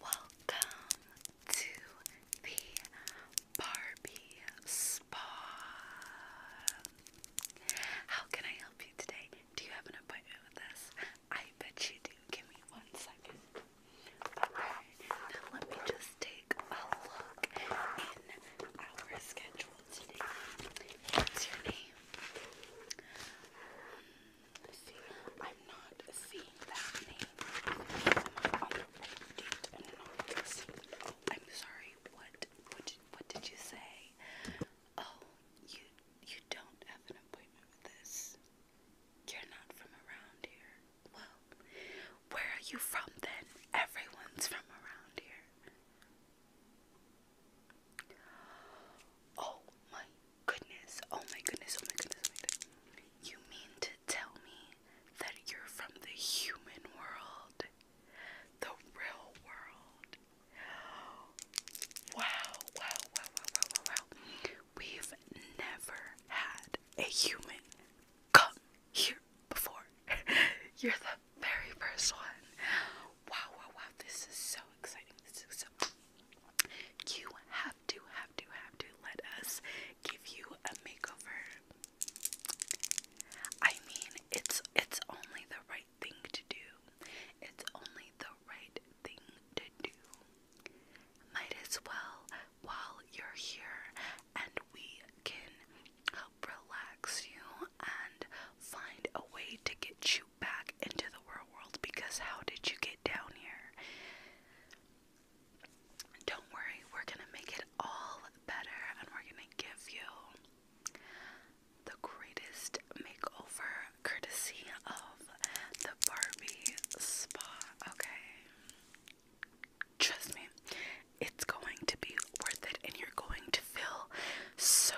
Welcome to the Barbie Spa. How can I help you today? Do you have an appointment with us? I bet you didn't Give me one second now let me just take a look in our schedule today. What's your name? Um, see, I'm not seeing that name. on the right I'm sorry. What? What what did you say? Oh, you you don't have an appointment with this. You're not from around here. Well, where are you from then? Everyone's from around here. Oh, oh my goodness, oh my goodness, oh my goodness, You mean to tell me that you're from the human world? The real world? wow, wow, wow, wow, wow, wow. We've never had a human come here before? You're the very first one. Wow, wow, wow. This is so exciting. This is so. You have to, have to, have to let us give you a makeover. I mean, it's it's only the right thing to do. It's only the right thing to do. Might as well while you're here, and we can help relax you and find a way to get you back into the real world. Because how did you get down here? Don't worry, we're gonna make it all better, and we're gonna give you the greatest makeover courtesy of the Barbie spa. Okay, Trust me, it's going to be worth it and you're going to feel so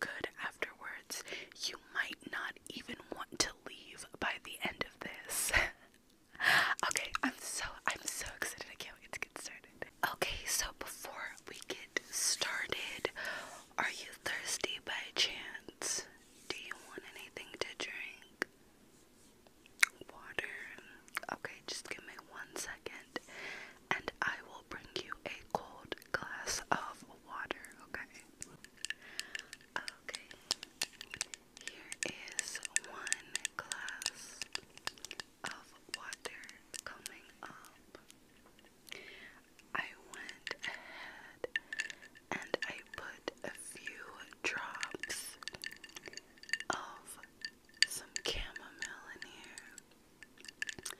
good afterwards. You might not even want to leave by the end of this. okay, I'm so I'm so excited. I can't wait to get started. Okay, so before we get started, are you thirsty by chance? Do you want anything to drink? water. Okay, just give me one second and I will bring you a cold glass of water, okay? Okay, here is one glass of water coming up. I went ahead and I put a few drops of some chamomile in here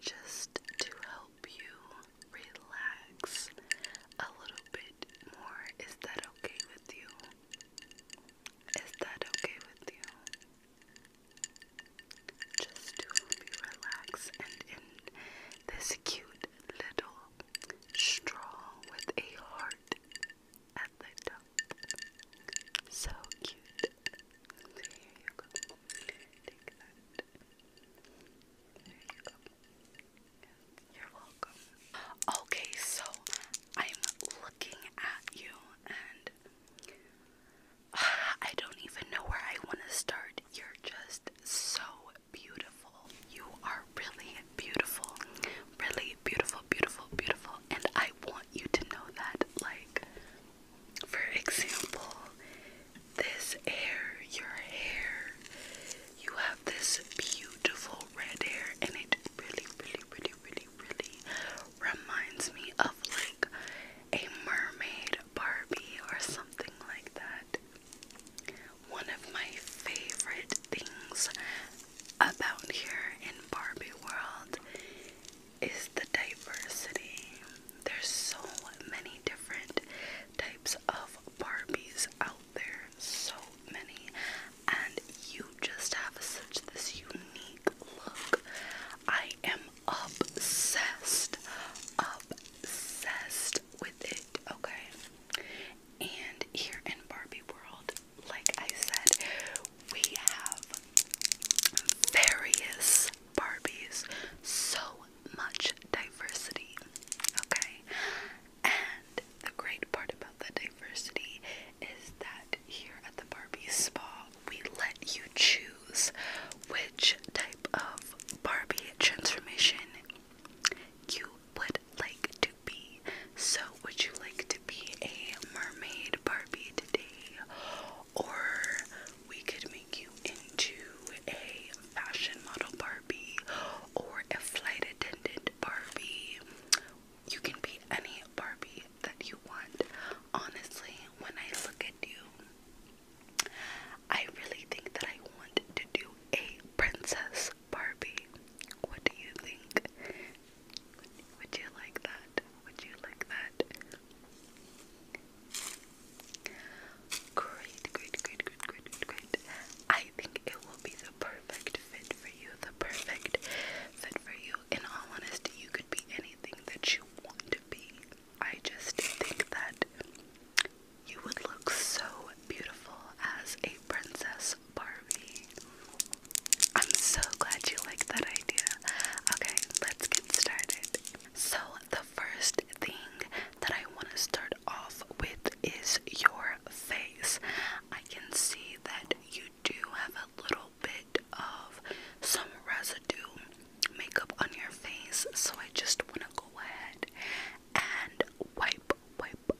just to help you relax a little bit more. Is that okay with you? Is that okay with you? Just to help you relax and in this cute little Strong with a heart at the top. So cute. So you go. Take that. There you go. You're welcome. Okay, so I'm looking at you and I don't even know where I want to start. You're just so beautiful. You are really beautiful. Really beautiful, beautiful, beautiful. And I want you to know that. Like, for example, this hair, your hair, you have this beautiful red hair, and it really, really, really, really, really reminds me of like a mermaid Barbie or something like that. One of my favorite things about here in Barbie World is the diversity. There's so many different types of Barbies out there, so many, and you just have such this unique look. I am obsessed, obsessed with it, okay? And here in Barbie World, like I said, we have various Barbies, so much diversity, okay? And the great part about the diversity is that here at the Barbie Spa, we let you choose which type of Barbie transformation you would like to be. So, would you like to be a mermaid Barbie today? Or we could make you into a fashion model Barbie or a flight attendant Barbie. You can be any Barbie that you want. Honestly, when I look at you, I really think that I want to do a princess Barbie. What do you think? Would you like that? Would you like that? Great, great, great, great, great, great. I think it will be the perfect fit for you. The perfect fit for you. In all honesty, you could be anything that you want to be. I just think that you would look so beautiful as a Princess Barbie. I'm so glad you like that idea. Okay, let's get started. So, the first thing that I want to start off with is your face. I can see that you do have a little bit of some residue makeup on your face, so I just want to go ahead and wipe, wipe,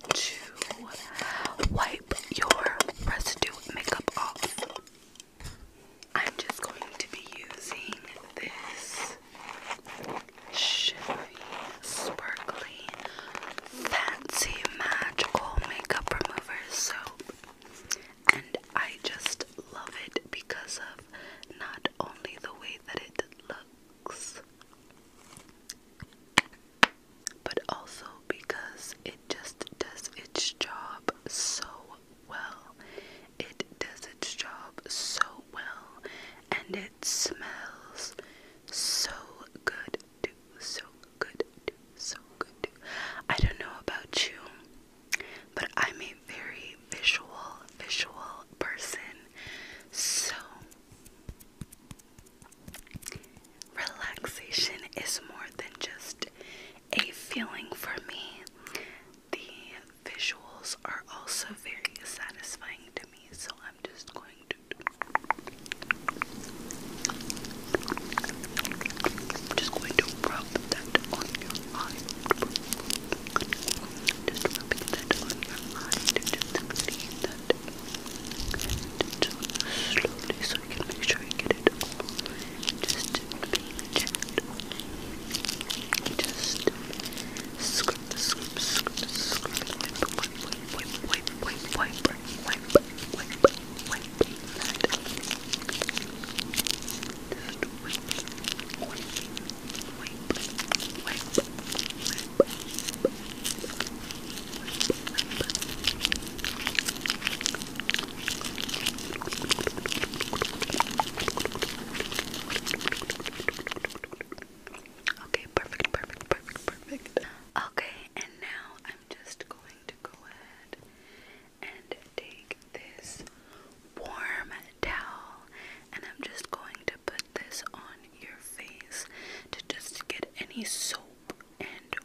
to wipe your residue makeup off. I'm just going to be using this shimmery, sparkly, fancy, magical makeup remover So, And I just love it because of not only the way that it looks, but also because it just does its job so well. It does its job so well, and it smells so good, too. So good, too. So good, too. I don't know about you, but I'm a very visual, visual person. So, Relaxation is more than just a feeling for me. The visuals are also very satisfying to me, so I'm just going to just going to rub that on your eye. Just rubbing that on your eye to just clean that it slowly so I can make sure I get it all just just scrub, scrub, scrub, scrub wipe, wipe, wipe, wipe, wipe, wipe, wipe, wipe, wipe, wipe just wipe, wipe, wipe, wipe, wipe, wipe, Okay, perfect, perfect, perfect, perfect. Okay, and now I'm just going to go ahead and take this warm towel and I'm just going to put this on your face to just get any soap and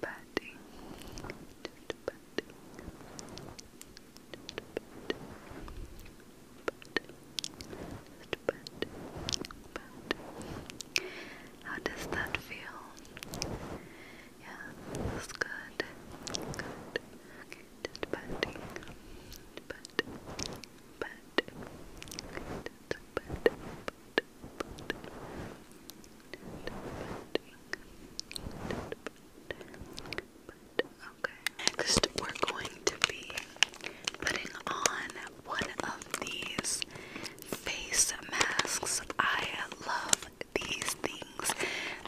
patting, patting, just patting, just patting, How does that feel? Yeah, that's good. Good. Okay, just patting, patting, patting. Okay, Next, we're going to be putting on one of these face masks. I love these things.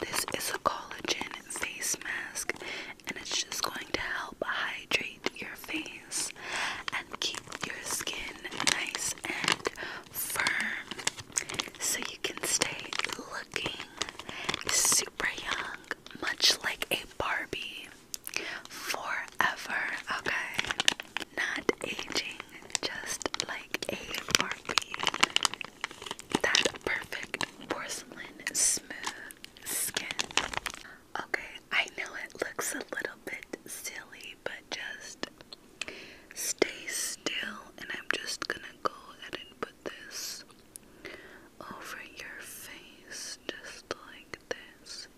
This is a collagen face mask, and it's just going to help hydrate your face and keep your skin nice and firm so you can stay looking super young, much like a Barbie forever, okay? Not aging, just like a Barbie. That perfect porcelain smooth skin. Okay, I know it looks a little bit silly, but just Stay still, and I'm just gonna go ahead and put this over your face, just like this.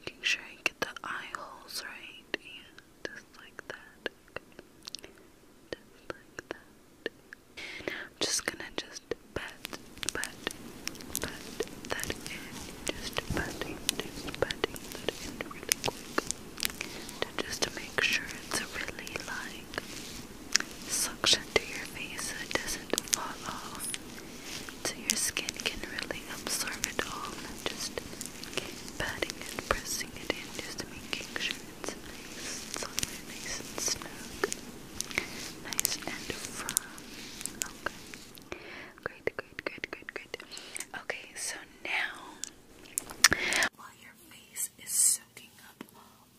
Making sure you get the eye holes right. Yeah, just like that. Okay. Just like that. I'm just gonna just pat, pat, pat that in. Just patting, just patting that in really quick to just make sure it's really like suction to your face so it doesn't fall off. So your skin can really absorb it all just patting it, pressing it in, just making sure it's nice nice and snug, nice and firm. Okay. Great, great, great, great, great. Okay, so now while your face is soaking up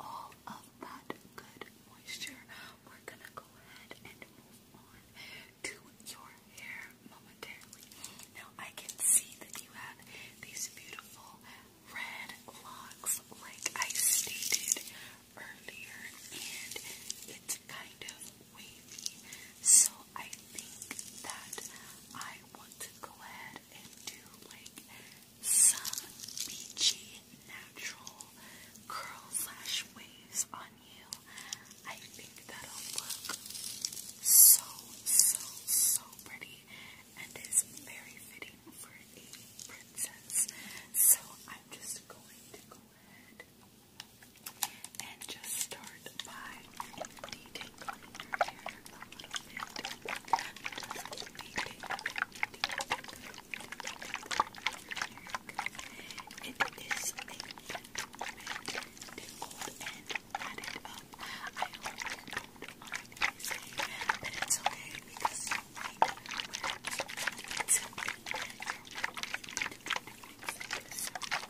all of that good moisture, we're gonna go ahead and move on to your hair momentarily. Now I can see that you have these beautiful red locks like I stated earlier and it's kind of wavy. So I think that I want to go ahead and do like some beachy natural curl slash waves on you. I think that'll look so so so pretty and is very fitting for a princess. So I'm just going to go ahead and just start by detangling your hair a little bit. Just detangling, detangling. It is a gentleman tingled and ratted up. I hope you don't mind me saying that it's okay because you might wear it. It's okay. You're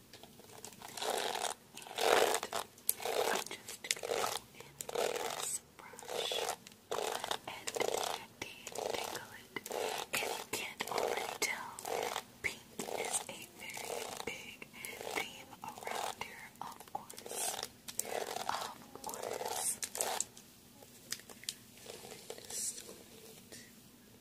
I'm just gonna go in brush and detangle it. If you can't already tell, pink is a very big theme around here, of course. Of course. Just going to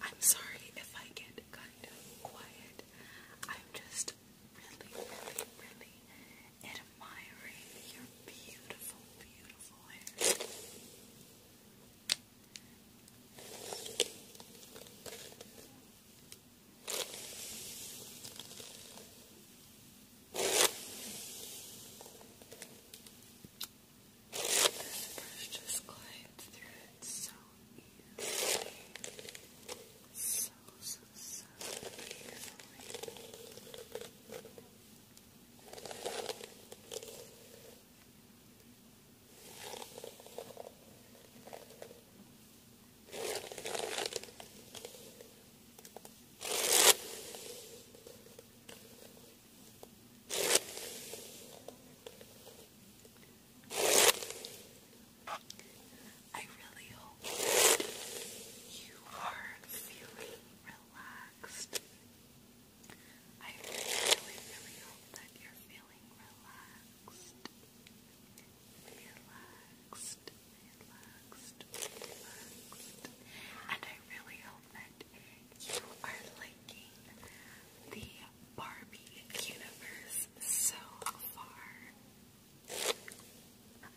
I'm sorry if I get kind of quiet. I'm just really, really, really admiring your beautiful, beautiful beautiful hair. This brush just glides through it so easily. So, so, so beautifully. I really hope you are feeling relaxed. I really, really hope that you're feeling relaxed. Relaxed, relaxed, relaxed. And I really hope that you are liking the Barbie universe so far.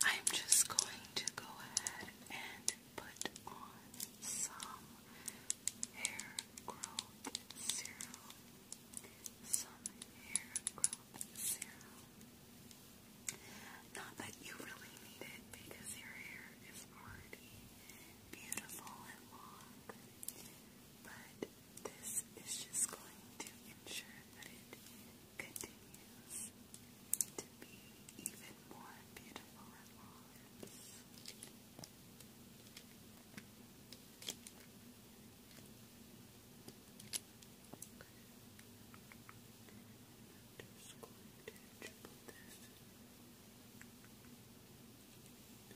I'm just going to go ahead and put on some hair growth serum. Some hair growth serum. Not that you really need it because your hair is already beautiful and long, but this is just going to ensure that it continues to be even more beautiful and flawless. I'm just going to triple this. On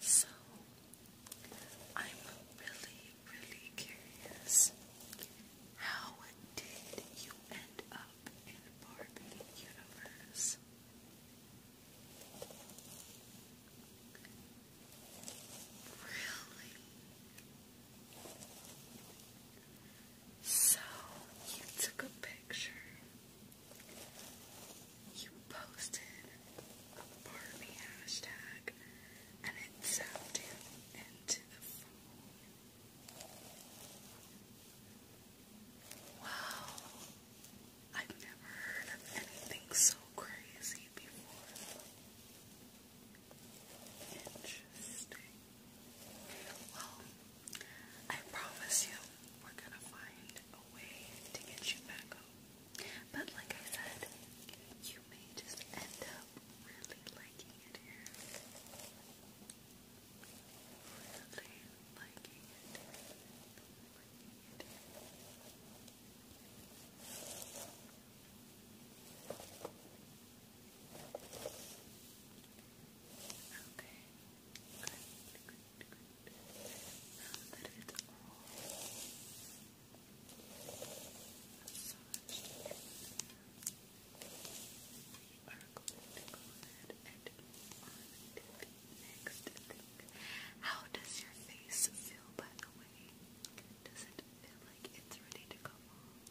So, I'm really, really curious. How did you end up in Barbie universe? Really? So you took a picture. You posted a Barbie hashtag and it zapped you into the phone. Wow. I've never heard of anything so crazy before. Interesting. Well, I promise you, we're gonna find a way to get you back home. But like I said, you may just end up really liking it here. Really liking it. Liking it Okay. Good, Now that it's all massaged, we are going to go ahead and move on to the next thing. How does your face feel, by the way? Does it feel like it's ready to come off?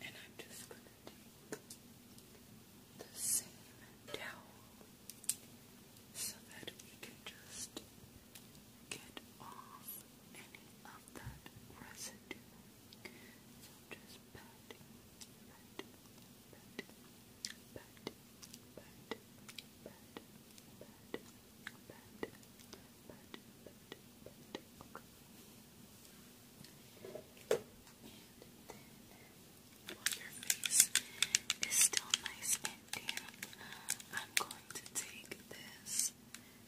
And I'm just going to take the same towel so that we can just get off any of that residue. So just pat, pat, pat, pat, pat, pat, pat, pat, but, still nice and damp, I'm going to take this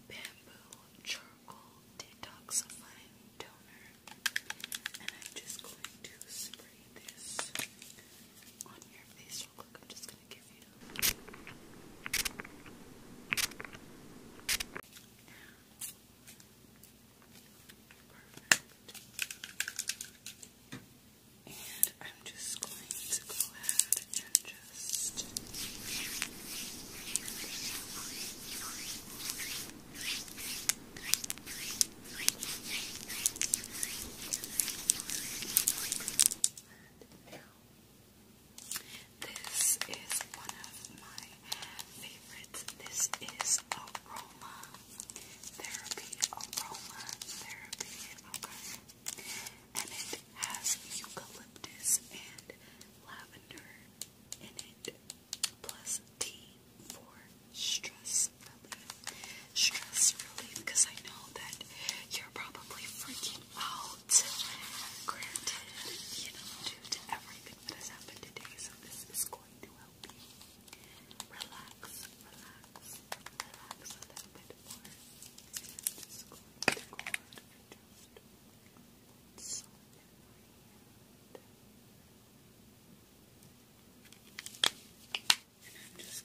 bamboo charcoal detoxifying toner, and I'm just going to spray this on your face real quick going you. Perfect. And I'm just going to go ahead and just this is one of my favorites. This is Aroma Therapy. Aroma Therapy. Okay. And it has eucalyptus and lavender in it, plus tea for stress relief. Stress relief, because I know that you're probably freaking out. Granted, you know, due to everything that has happened today, so this is going to help you relax, relax, relax a little bit more. Just going to go ahead just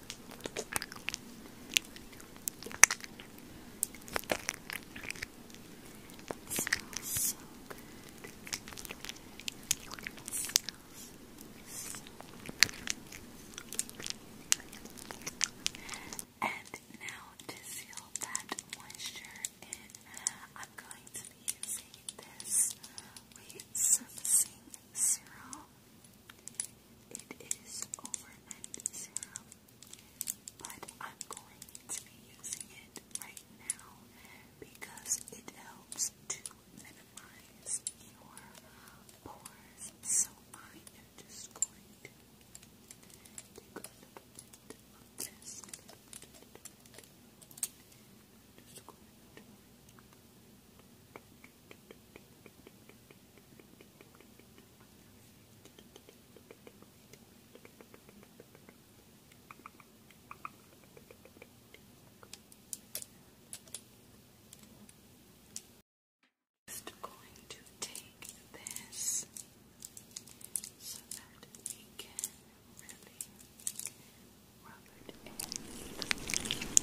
It smells And now to seal that moisture in, I'm going to be using this weight surfacing serum. It is overnight serum, but I'm going to be using it right now because it helps to minimize your pores. So I am just going to take a little bit just going to take this so that we can really rub it in.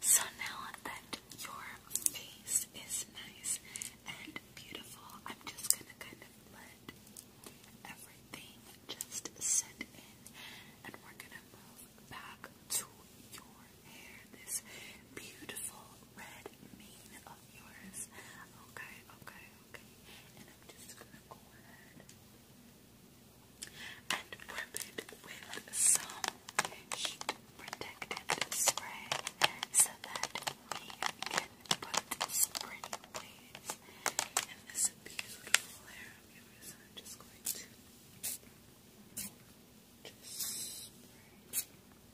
So now that your face is nice and beautiful, I'm just gonna kind of let everything just set in and we're gonna move back to your hair, this beautiful red mane of yours. Okay, okay, okay? And I'm just gonna go ahead and rub it with some heat spray so that we can put spring in this beautiful hair of yours. So I'm just going to just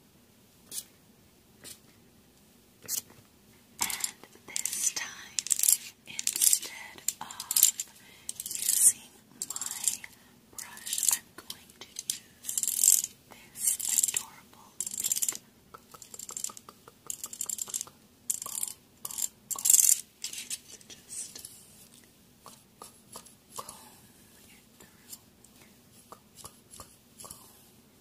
and this time, instead of using my brush, I'm going to use this adorable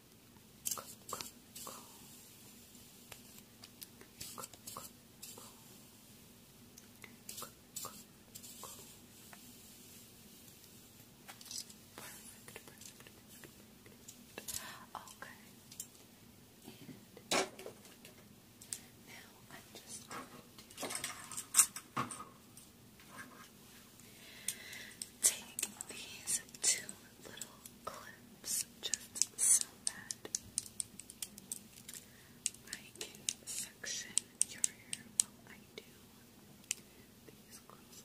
perfect, perfect. Okay. And now I'm just going to take these two little clips just so that I can section your hair I do these clips.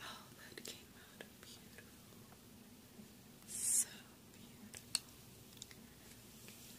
Oh, that came out beautiful. So beautiful.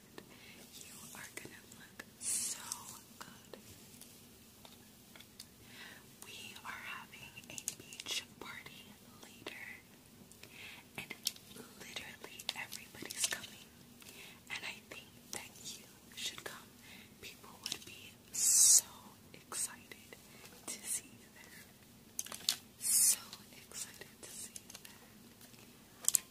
and you are gonna look so good. We are having a beach party later, and literally everybody's coming. And I think that you should come. People would be so excited to see you So excited to see you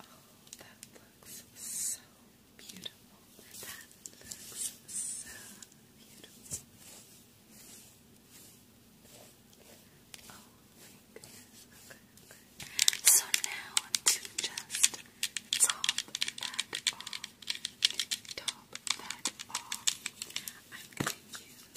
Oh, that looks so beautiful. That looks so beautiful. So now to just top that off. Top that off. I'm going to use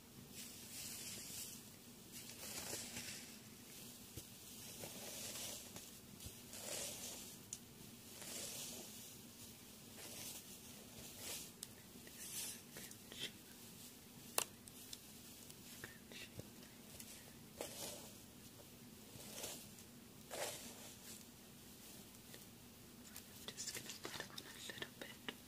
I'm just going to put on a little bit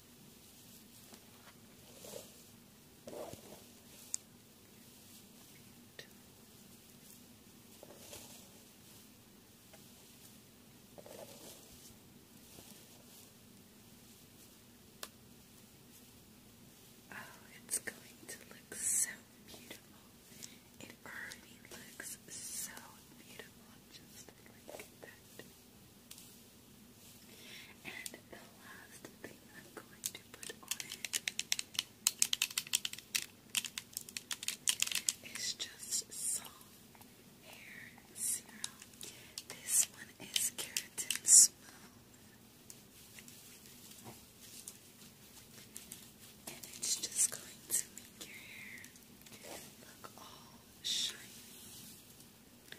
Oh, it's going to look so beautiful. It already looks so beautiful just like that. And the last thing I'm going to put on it is just soft hair serum. This one is Keratin Smooth. And it's just going to make your hair look all shiny and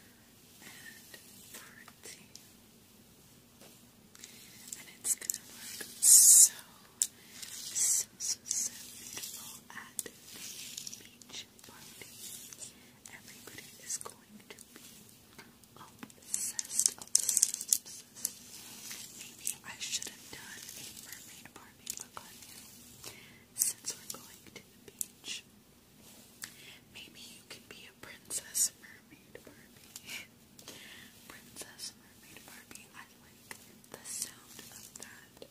party. And it's gonna look so, so, so, beautiful at the beach party. Everybody is going to be obsessed, Maybe I should have done a mermaid party look on you since we're going to the beach. Maybe you can be a princess mermaid Barbie. princess mermaid Barbie. I like the sound of that.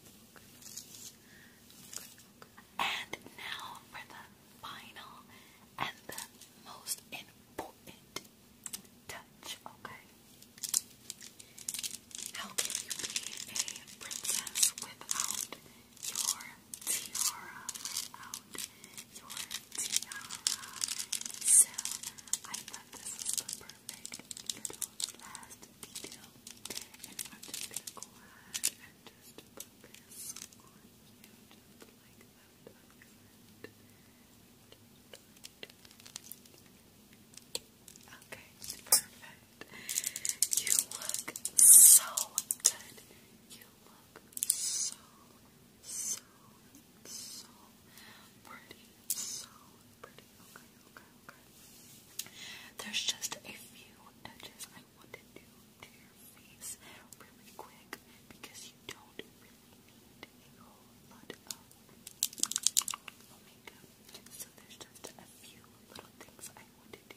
And now for the final and the most important touch, okay? How can you be a princess without your tiara out your tiara. So I thought this was the perfect little last detail. And i just go ahead and just put this on you just like that. Okay, perfect. You look so good. You look so, so, so pretty. So pretty. Okay, okay, okay. There's just a few touches I want to do to your face really quick because you don't really need a whole lot of makeup. So there's just a few little things I want to do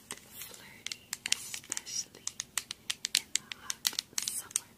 and flirty, especially in the hot summertime.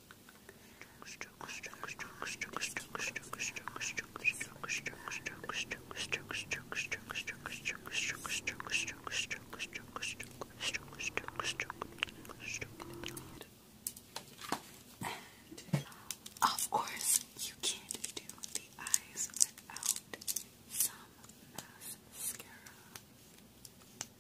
of course, you can't do the eyes without some mascara.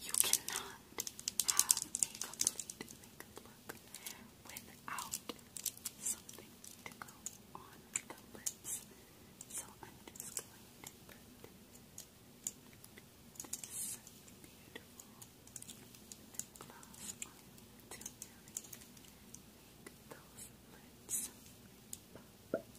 You cannot have a complete look without something to go on the lips. So I'm just going to put this beautiful gloss on to really make those lips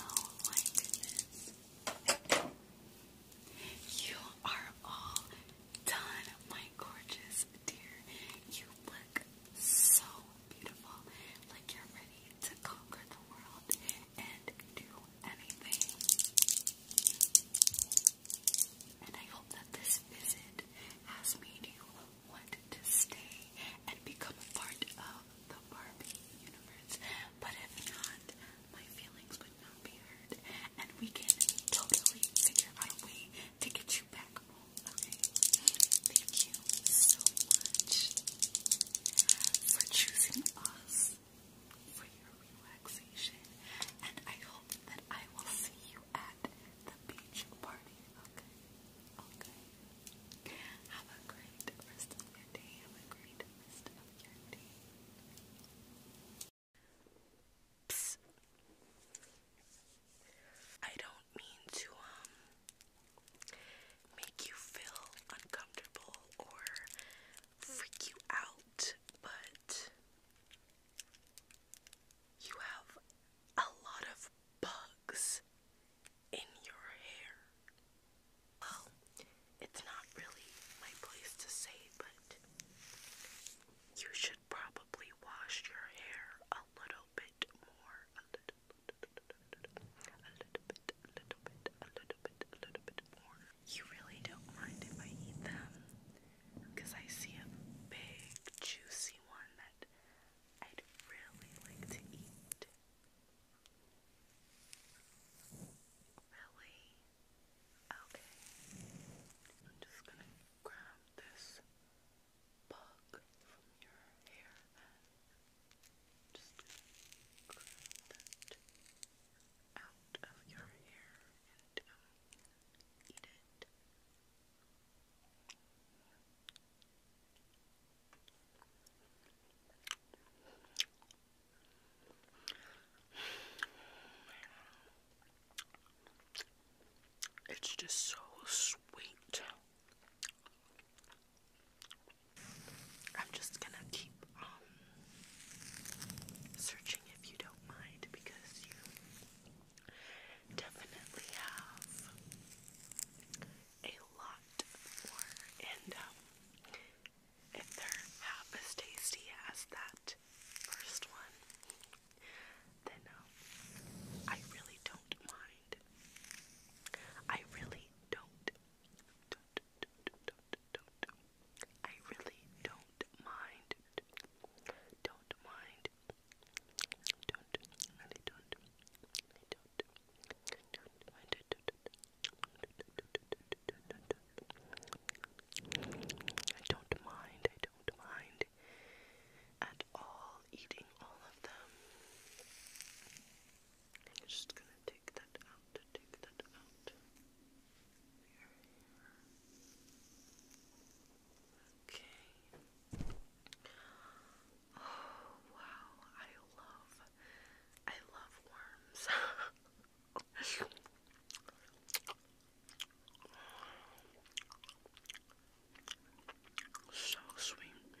Oh my goodness. You are all done, my gorgeous dear. You look so beautiful. Like you're ready to conquer the world and do anything. And I hope that this visit has made you want to stay and become a part of the Barbie universe. But if not, my feelings would not be heard. And we can totally figure out a way to get you back okay? Thank you so much for choosing us for your relaxation. And I hope that I will see you at the beach party, okay? Okay. Have a great rest of your day. Have a great rest of your day. Psst. I don't mean to, um, make you feel uncomfortable or freak you out, but you have a lot of bugs in your hair. Well, it's not really my place to say, but you should probably wash your hair a little bit more. A little, bit, little bit, a little bit, little bit more. You really don't mind if I eat them I see a big, juicy one that I'd really like to eat. Really? Okay. I'm just gonna grab this bug from your hair. Just grab that out of your hair and um, eat it. It's just so sweet. I'm just gonna keep um, searching if you don't mind because you definitely have a lot more, and if they're half as tasty as that first one, then I really don't mind. I really don't, don't, don't, don't, don't, don't. I really don't mind. Don't mind don't, I don't mind, I don't mind at all eating all of them. I'm just gonna take that out, take that out. Here, here. Okay. Oh wow, I love I love worms. so sweet.